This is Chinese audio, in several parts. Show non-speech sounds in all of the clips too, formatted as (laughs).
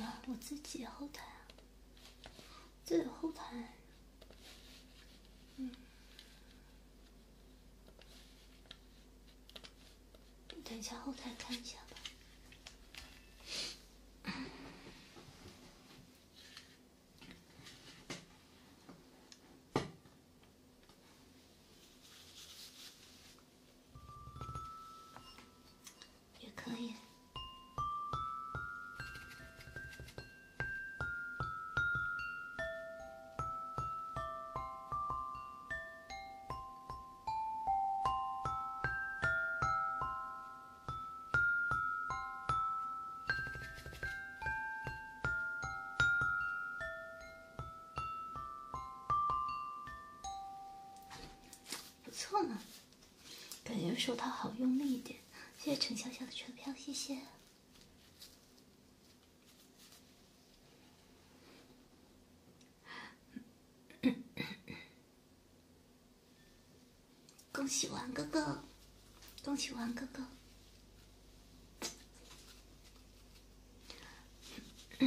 啊，我自己后台啊，自己后台。嗯，等一下后台看一下吧。也可以。不错嘛，感觉手套好用力一点。谢谢陈笑笑的车票，谢谢。恭喜王哥哥！恭喜王哥哥！(laughs)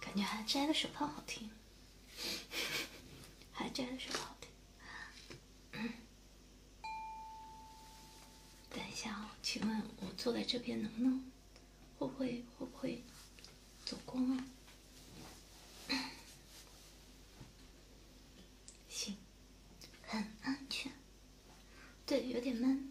感觉还摘了手套好听，还摘了手套好听。等一下啊，请问我坐在这边能不能？会不会会不会走光啊？行，很安全。对，有点闷。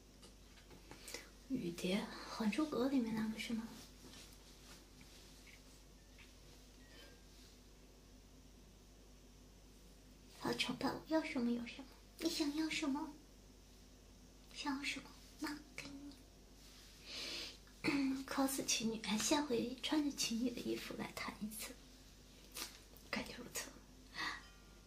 雨蝶，《还珠格》里面那个是吗？好崇我要什么有什么。你想要什么？想要什么？妈给你。cos (coughs) 情侣，下回穿着情侣的衣服来谈一次，感觉不错。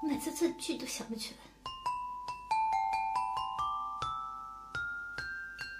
我每次这句都想不起来。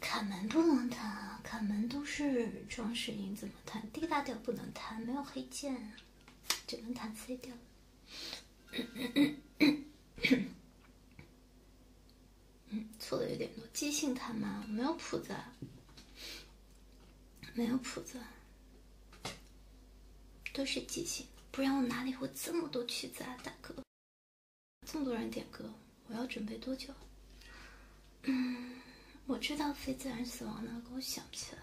卡门不能弹啊！卡门都是装饰音，怎么弹？D 大调不能弹，没有黑键，只能弹 C 调。嗯，错的有点多，即兴弹嘛，没有谱子，没有谱子，都是即兴，不然我哪里会这么多曲子啊，大哥，这么多人点歌，我要准备多久？嗯，我知道非自然死亡呢，可我想不起来。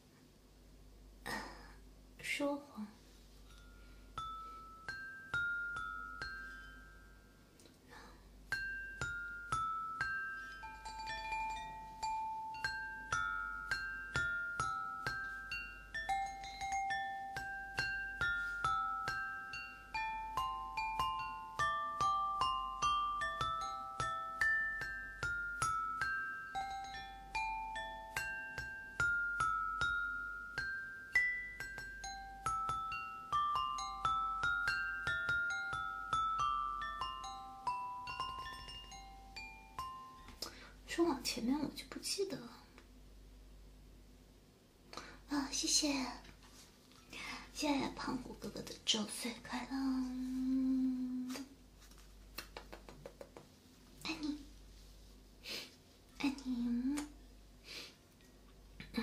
说谎。说往前面我就不记得了。啊，谢谢！谢谢胖虎哥哥的周岁快乐！爱你，爱你，嗯，不对。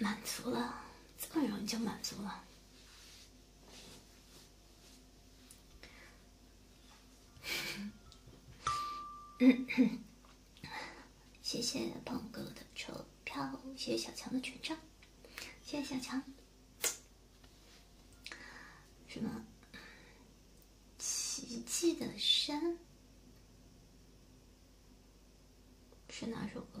满足了，这么容易就满足了。谢谢鹏哥的车票，谢谢小强的权杖，谢谢小强。什么奇迹的山是哪首歌？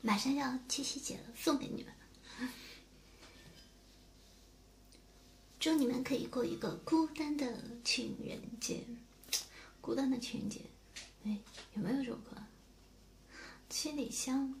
马上要七夕节了，送给你们。祝你们可以过一个孤单的情人节，孤单的情人节。哎，有没有这首歌？七里香。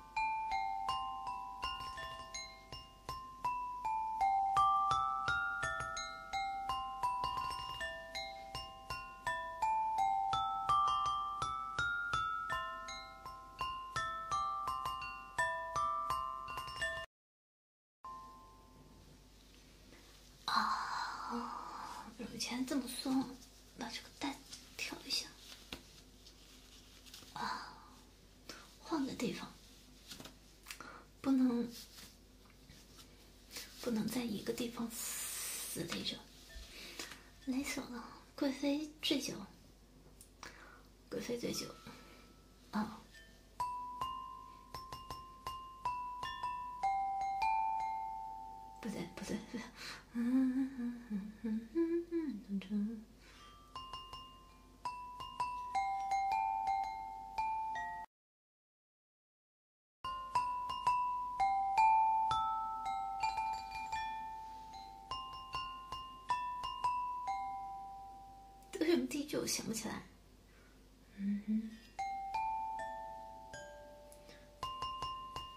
啊！不是，这么松，把这个带调一下。啊，换个地方，不能不能在一个地方死累着。累死了，《贵妃醉酒》。《贵妃醉酒》啊，不对不对不对，嗯嗯嗯嗯嗯嗯，等着。对，就想不起来。嗯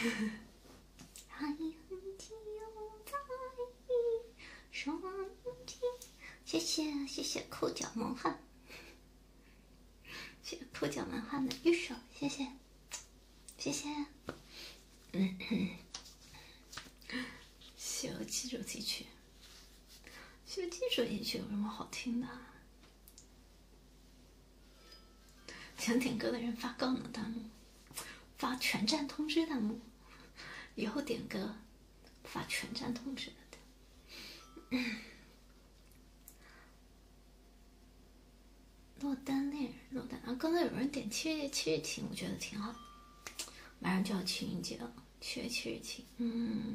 哈 (laughs) 哈，谢谢谢谢抠脚毛汗。谢破江漫画的玉手，谢谢，谢谢。《西游记》主题曲，《西游记》主题曲有什么好听的？想点歌的人发告呢，弹幕发全站通知弹幕，以后点歌。发全站通知了的。落单恋人，落单。啊！刚才有人点七月七日晴，我觉得挺好。马上就要情人节了，七月七日晴，嗯。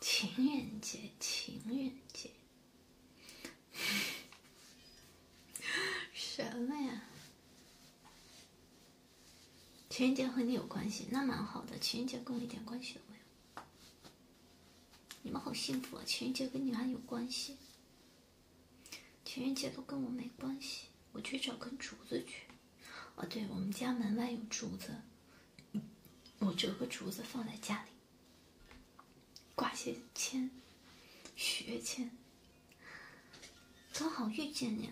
情人节，情人节，什么呀？情人节和你有关系？那蛮好的。情人节跟我一点关系都没有。你们好幸福啊！情人节跟你们有关系。情人节都跟我没关系，我去找根竹子去。哦，对我们家门外有竹子，我折个竹子放在家里，挂些签，许愿签，刚好遇见你。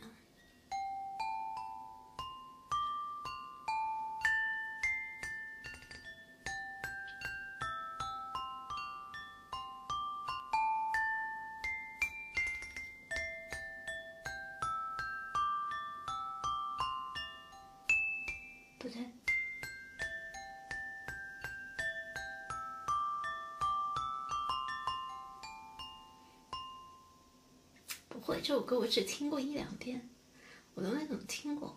不对，不会，这首歌我只听过一两遍，我都没怎么听过，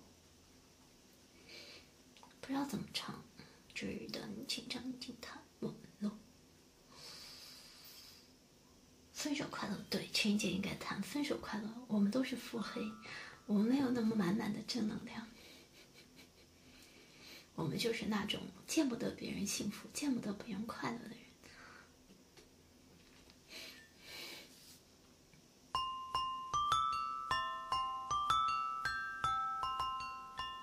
不知道怎么唱，纸你紧张紧经我们了。分手快乐，对，陈人姐应该谈分手快乐。我们都是腹黑，我们没有那么满满的正能量。我们就是那种见不得别人幸福、见不得别人快乐的人。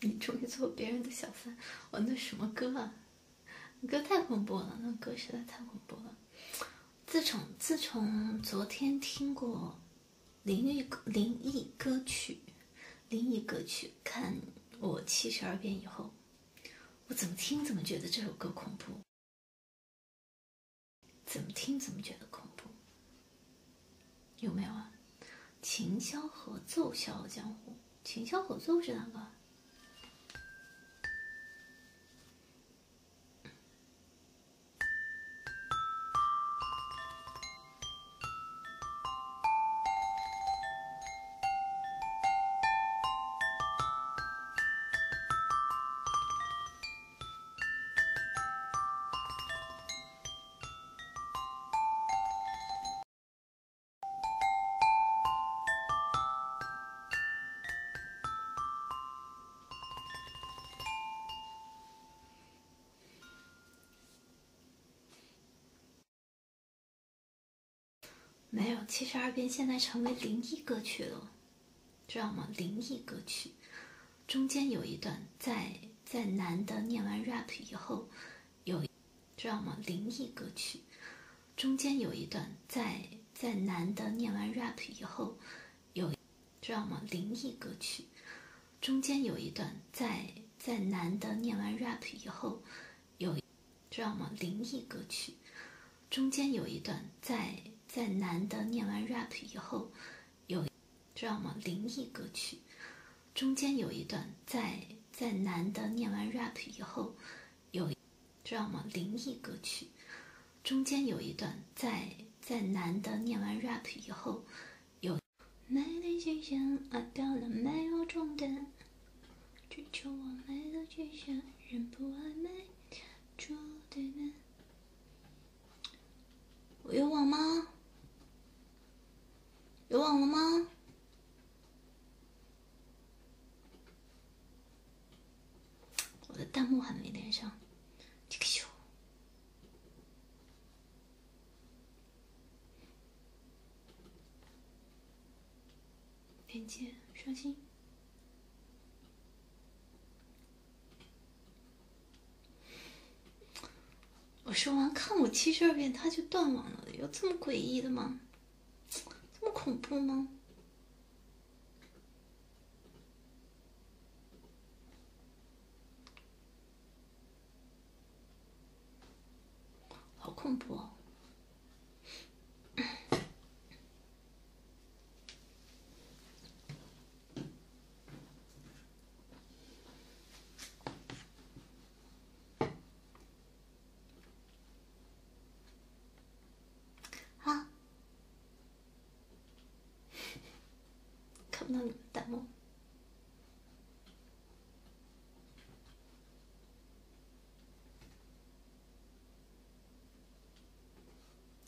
你终于做别人的小三，我那什么歌啊？歌太恐怖了，那歌实在太恐怖了。自从自从昨天听过灵异灵异歌曲，灵异歌曲看我七十二变以后，我怎么听怎么觉得这首歌恐怖，怎么听怎么觉得恐怖。有没有啊？琴箫合奏《笑傲江湖》？琴箫合奏是哪个？没有七十二变，现在成为灵异歌曲了，知道吗？灵异歌曲。中间有一段，在在男的念完 rap 以后，有，知道吗？灵异歌曲。中间有一段，在在男的念完 rap 以后，有，知道吗？灵异歌曲。中间有一段，在在男的念完 rap 以后，有，知道吗？灵异歌曲。中间有一段，在在男的念完 rap 以后，有。知道吗？灵异歌曲中间有一段，在在男的念完 rap 以后，有知道吗？灵异歌曲中间有一段，在在男的念完 rap 以后，有。我有网吗？有网了吗？我的弹幕还没连上，这个球。连接刷新。我说完，看我七十二变，他就断网了，有这么诡异的吗？这么恐怖吗？好恐怖！哦！啊，看不到你们弹幕。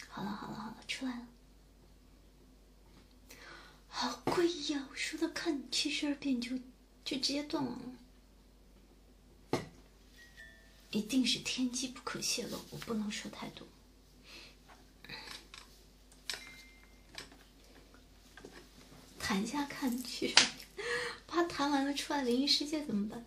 好了，好了，好了，出来了。好贵呀！我说的看七十二变就就直接断网了，一定是天机不可泄露，我不能说太多。谈一下看七十二怕谈完了出来灵异世界怎么办？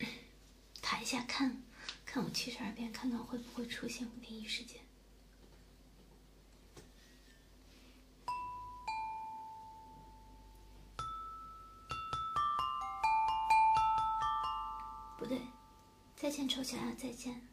(clears throat) 一下看看我七十二变，看看会不会出现不定义事件。不对，再见丑小鸭，再见。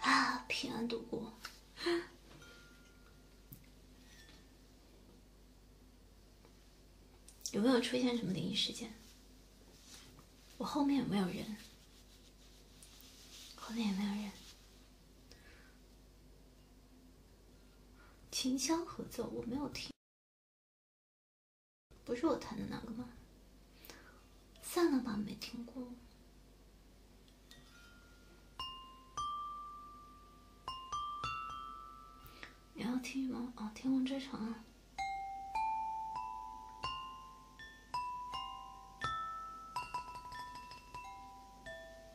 啊！平安度过。有没有出现什么灵异事件？我后面有没有人？后面有没有人？琴箫合奏，我没有听，不是我弹的那个吗？算了吧，没听过。你要听吗？哦，《天空之城。啊。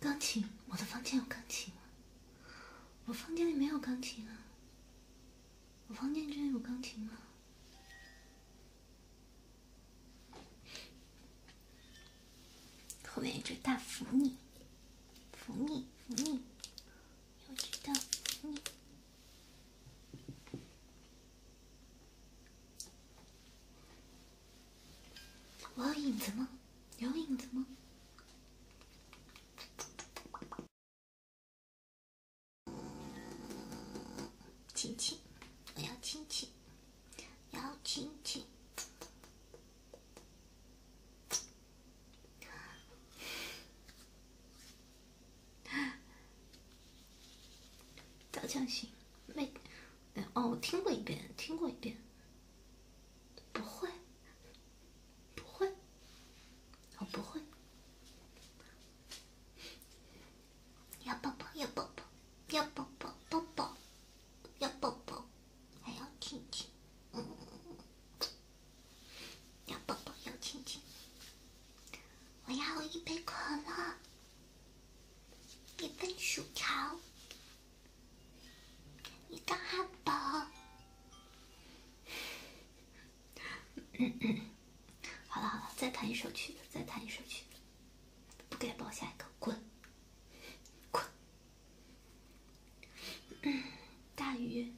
钢琴？我的房间有钢琴吗？我房间里没有钢琴啊。我房间居然有钢琴吗？后面一只大福你。抚你抚你，要知道你。我有影子吗？有影子吗？亲亲，我要亲亲，要亲亲。早教型没哦，我听过一遍，听过一遍，不会，不会，我不会。要抱抱，要抱抱，要抱抱，抱抱。要抱抱，还要亲亲，要抱抱，要亲亲。我要一杯可乐，一份薯条，一个汉堡。好了好了，再弹一首曲子，再弹一首曲子。不给抱，下一个滚，滚。大鱼。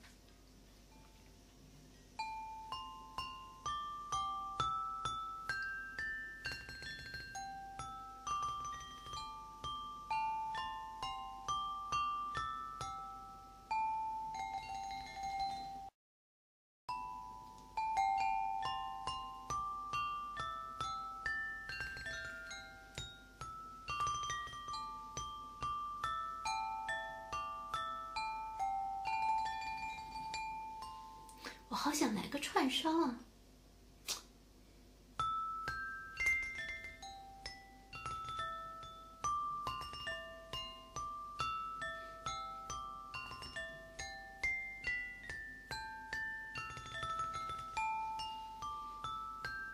我好想来个串烧啊！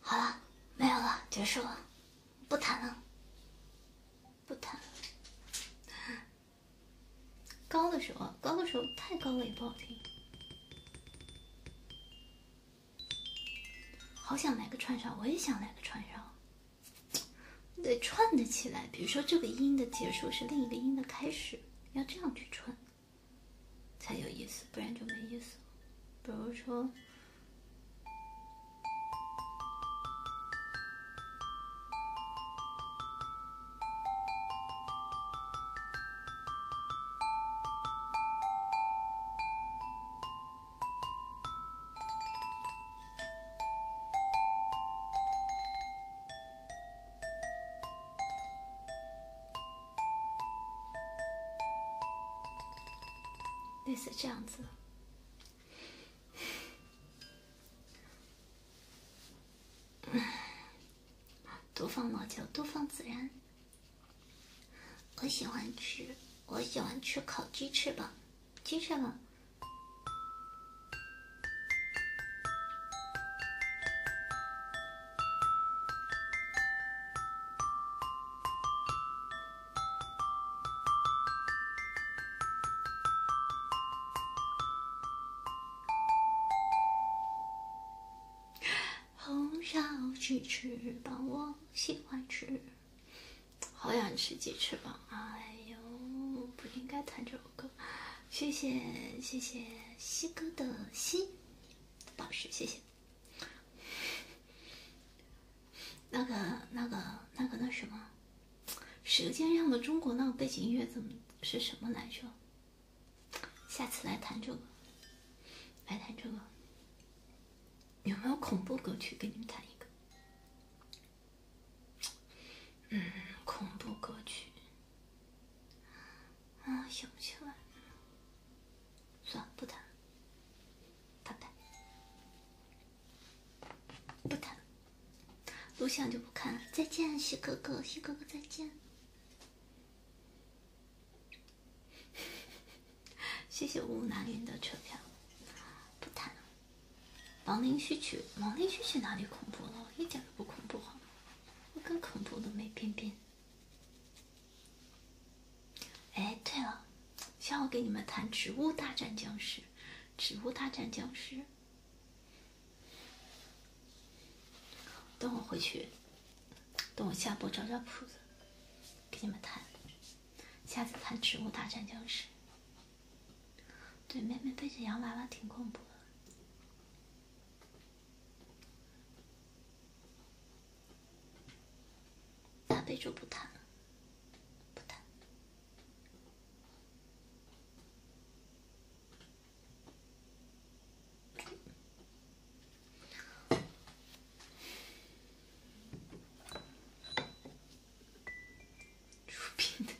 好了，没有了，结束了，不谈了，不谈了。高的时候，高的时候太高了也不好听。好想来个串烧，我也想来个串烧。得串得起来，比如说这个音的结束是另一个音的开始。要这样去穿，才有意思，不然就没意思。比如说。类似这样子。嗯，(sighs) 多放辣椒，多放孜然。我喜欢吃，我喜欢吃烤鸡翅膀，鸡翅膀。(laughs) 红烧鸡翅膀，我喜欢吃。好想吃鸡翅膀，哎呦，不应该弹这个。谢谢谢谢西哥的西宝石，谢谢。(laughs) 那个那个那个那什么，《舌尖上的中国》那个背景音乐怎么是什么来着？下次来弹这个，来弹这个。有没有恐怖歌曲？给你们弹一个。嗯，恐怖歌曲啊，想不起来，算了，不谈了，拜拜，不谈，录像就不看了，再见，西哥哥，西哥哥再见，(laughs) 谢谢吴南云的车票，不谈了。《亡灵序曲》，《亡灵序曲》哪里恐怖了？一点都不恐怖哈！我更恐怖的没？边边。哎，对了，下午给你们弹《植物大战僵尸》。《植物大战僵尸》。等我回去，等我下播找找谱子，给你们弹。下次弹《植物大战僵尸》。对，妹妹背着洋娃娃挺恐怖的。谈不就不谈，不谈。(laughs)